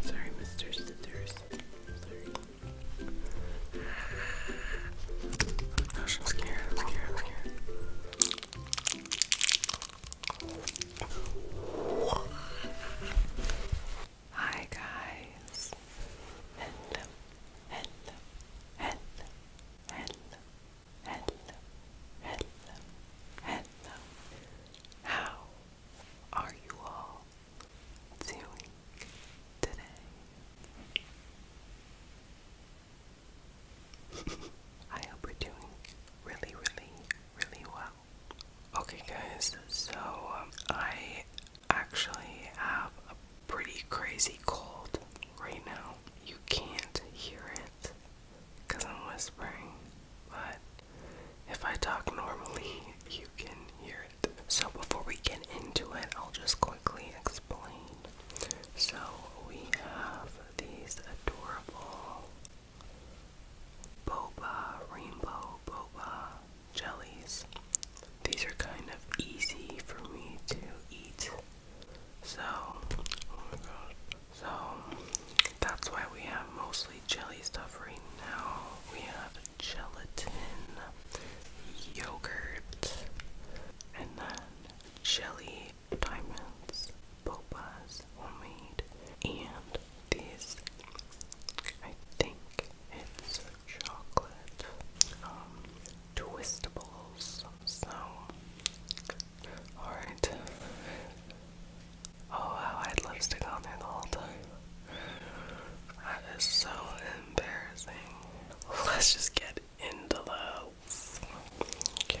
Sorry, Mr. Scissors. I'm scared. I'm scared. I'm scared. Hi guys hello, hello, hello, hello. How are you all doing today? I hope we're doing really, really, really well. Okay, guys, so um, I actually have a pretty crazy cold right now. You can't hear it because I'm whispering, but if I talk normally, you can hear it. So, before we get into it, I'll just quickly explain. So, we have these adorable boba, rainbow boba jellies. These are kind of easy for me to eat so, So, that's why we have mostly jelly stuff right now. We have gelatin, yogurt, and then jelly diamonds, bopas, homemade, and these. I think it's chocolate. Um, twistables. So, alright. Oh wow, I would love to on there the whole time. That is so embarrassing. Let's just get into those. Okay.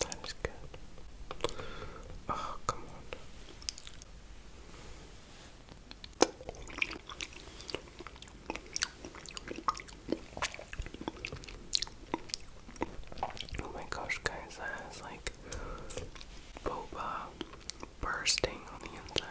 That is good. Oh, come on. Oh my gosh, guys, that like boba bursting on the inside.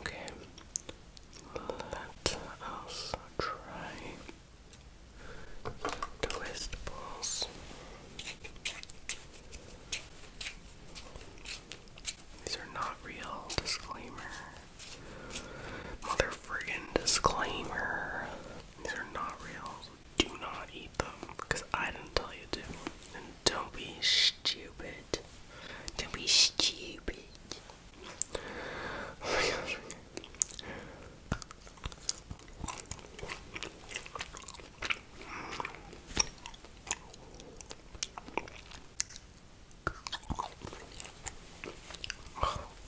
Okay, let us try twist balls. These are not real. Disclaimer. Mother friggin' disclaimer. These are not real. do not eat them. Because I didn't tell you to. And don't be stupid it. Don't be stupid.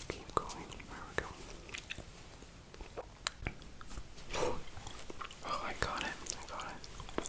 keep going. There we go. Oh, I got it. I got it.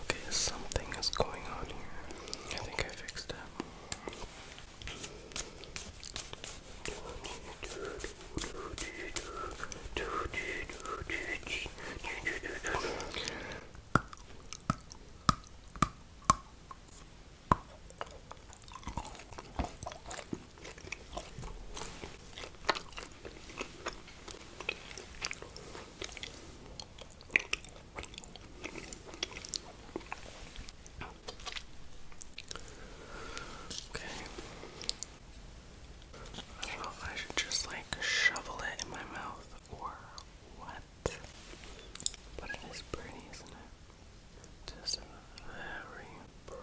Okay, something is going on here. I think I fixed that. Okay. I don't know if I should just like shovel it in my mouth or what. But it is pretty, isn't it? Just very pretty.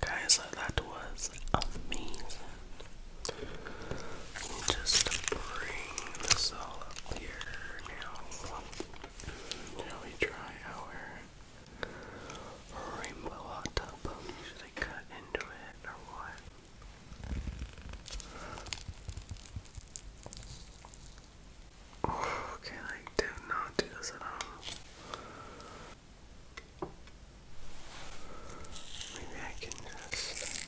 Guys, uh, that was amazing. Let me bring this all up here now. Now we try our rainbow hot tub. Should I cut into it or what? Okay, like, do not do this at all. Maybe I can just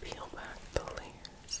peel back the layers.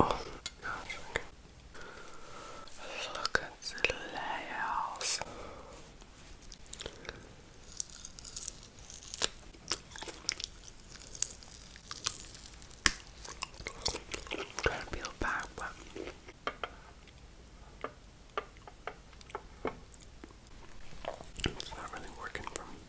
Oh Look at the layers. I'm trying to peel back, it's not really working for me.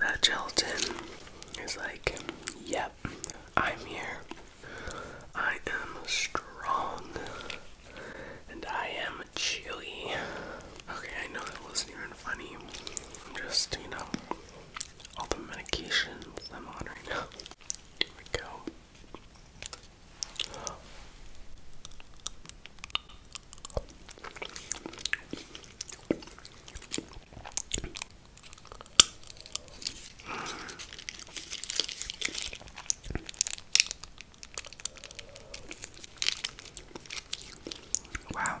That gelatin is like, yep, I'm here. I am strong and I am chewy. Okay, I know that wasn't even and I'm just, you know, all the medications I'm on right now. Here we go. Wow,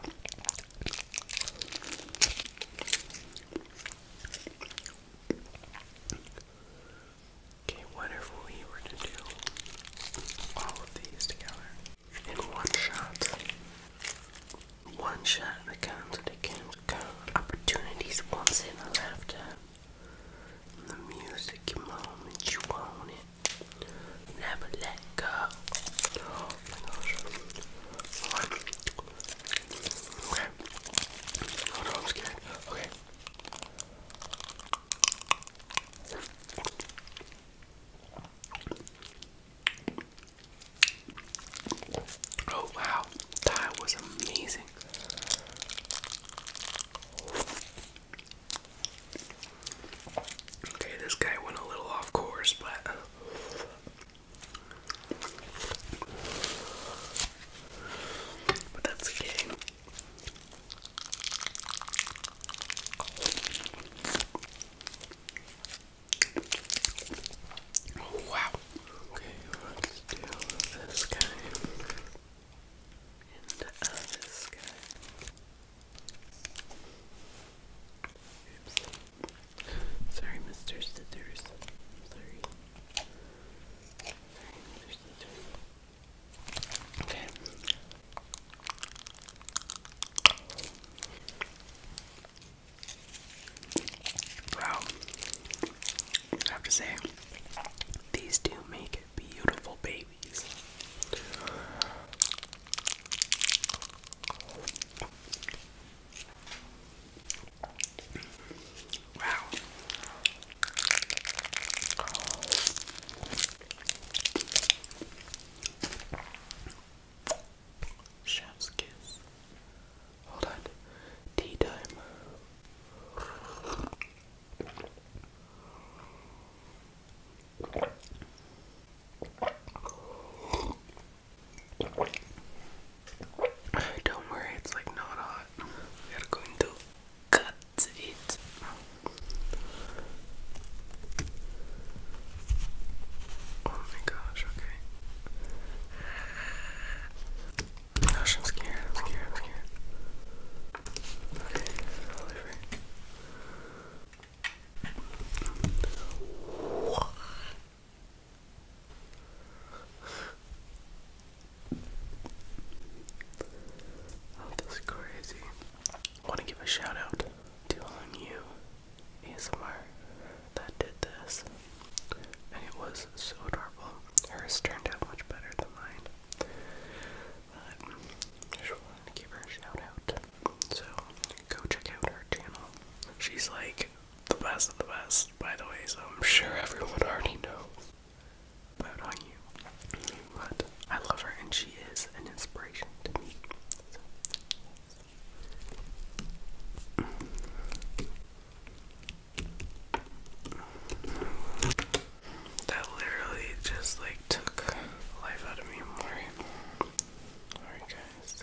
Okay, what if we were to do all of these together in one shot? One shot accounts that it can count opportunities once in a lifetime. The music moment you own Never let go. Oh my gosh. Okay. Oh no, I'm scared. Okay. Oh wow, that was amazing. Okay, this guy went a little off course, but. But that's the oh, wow. Okay, let's do this guy. And this guy. Sorry, Mr. Scissors. i sorry. Okay. Wow. I have to say, these do make beautiful babies. Wow. Chef's kiss. Hold on. Tea time. Don't worry, it's like not hot. We are going to cut it. Oh my gosh, okay. I'm scared, I'm scared, I'm scared. Okay, Oh, this is crazy. want to give a shout out to You ASMR that did this, and it was so adorable. Hers turned out much better than mine. But just wanted to give her a shout out. So go check out her channel. She's like the best of the best, by the way, so I'm sure everyone already knows about on you. But I love her and she is an inspiration to me. That literally just like took life out of me more. Alright, guys. Cheers.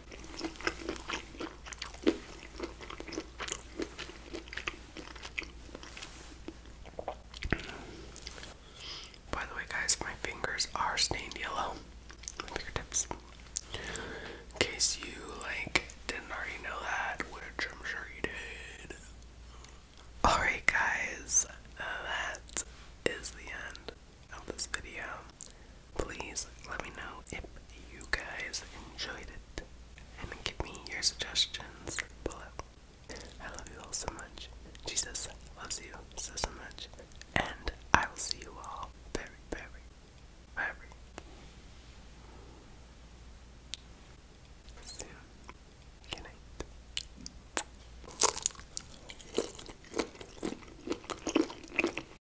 By the way, guys, my fingers are stained yellow. fingertips. In case you like didn't already know that, which I'm sure you did. Alright, guys, that is the end of this video. Please let me know if you guys enjoyed it and give me your suggestions below. I love you all so much. Jesus loves you so, so much. And I will see you all very, very, very soon. Good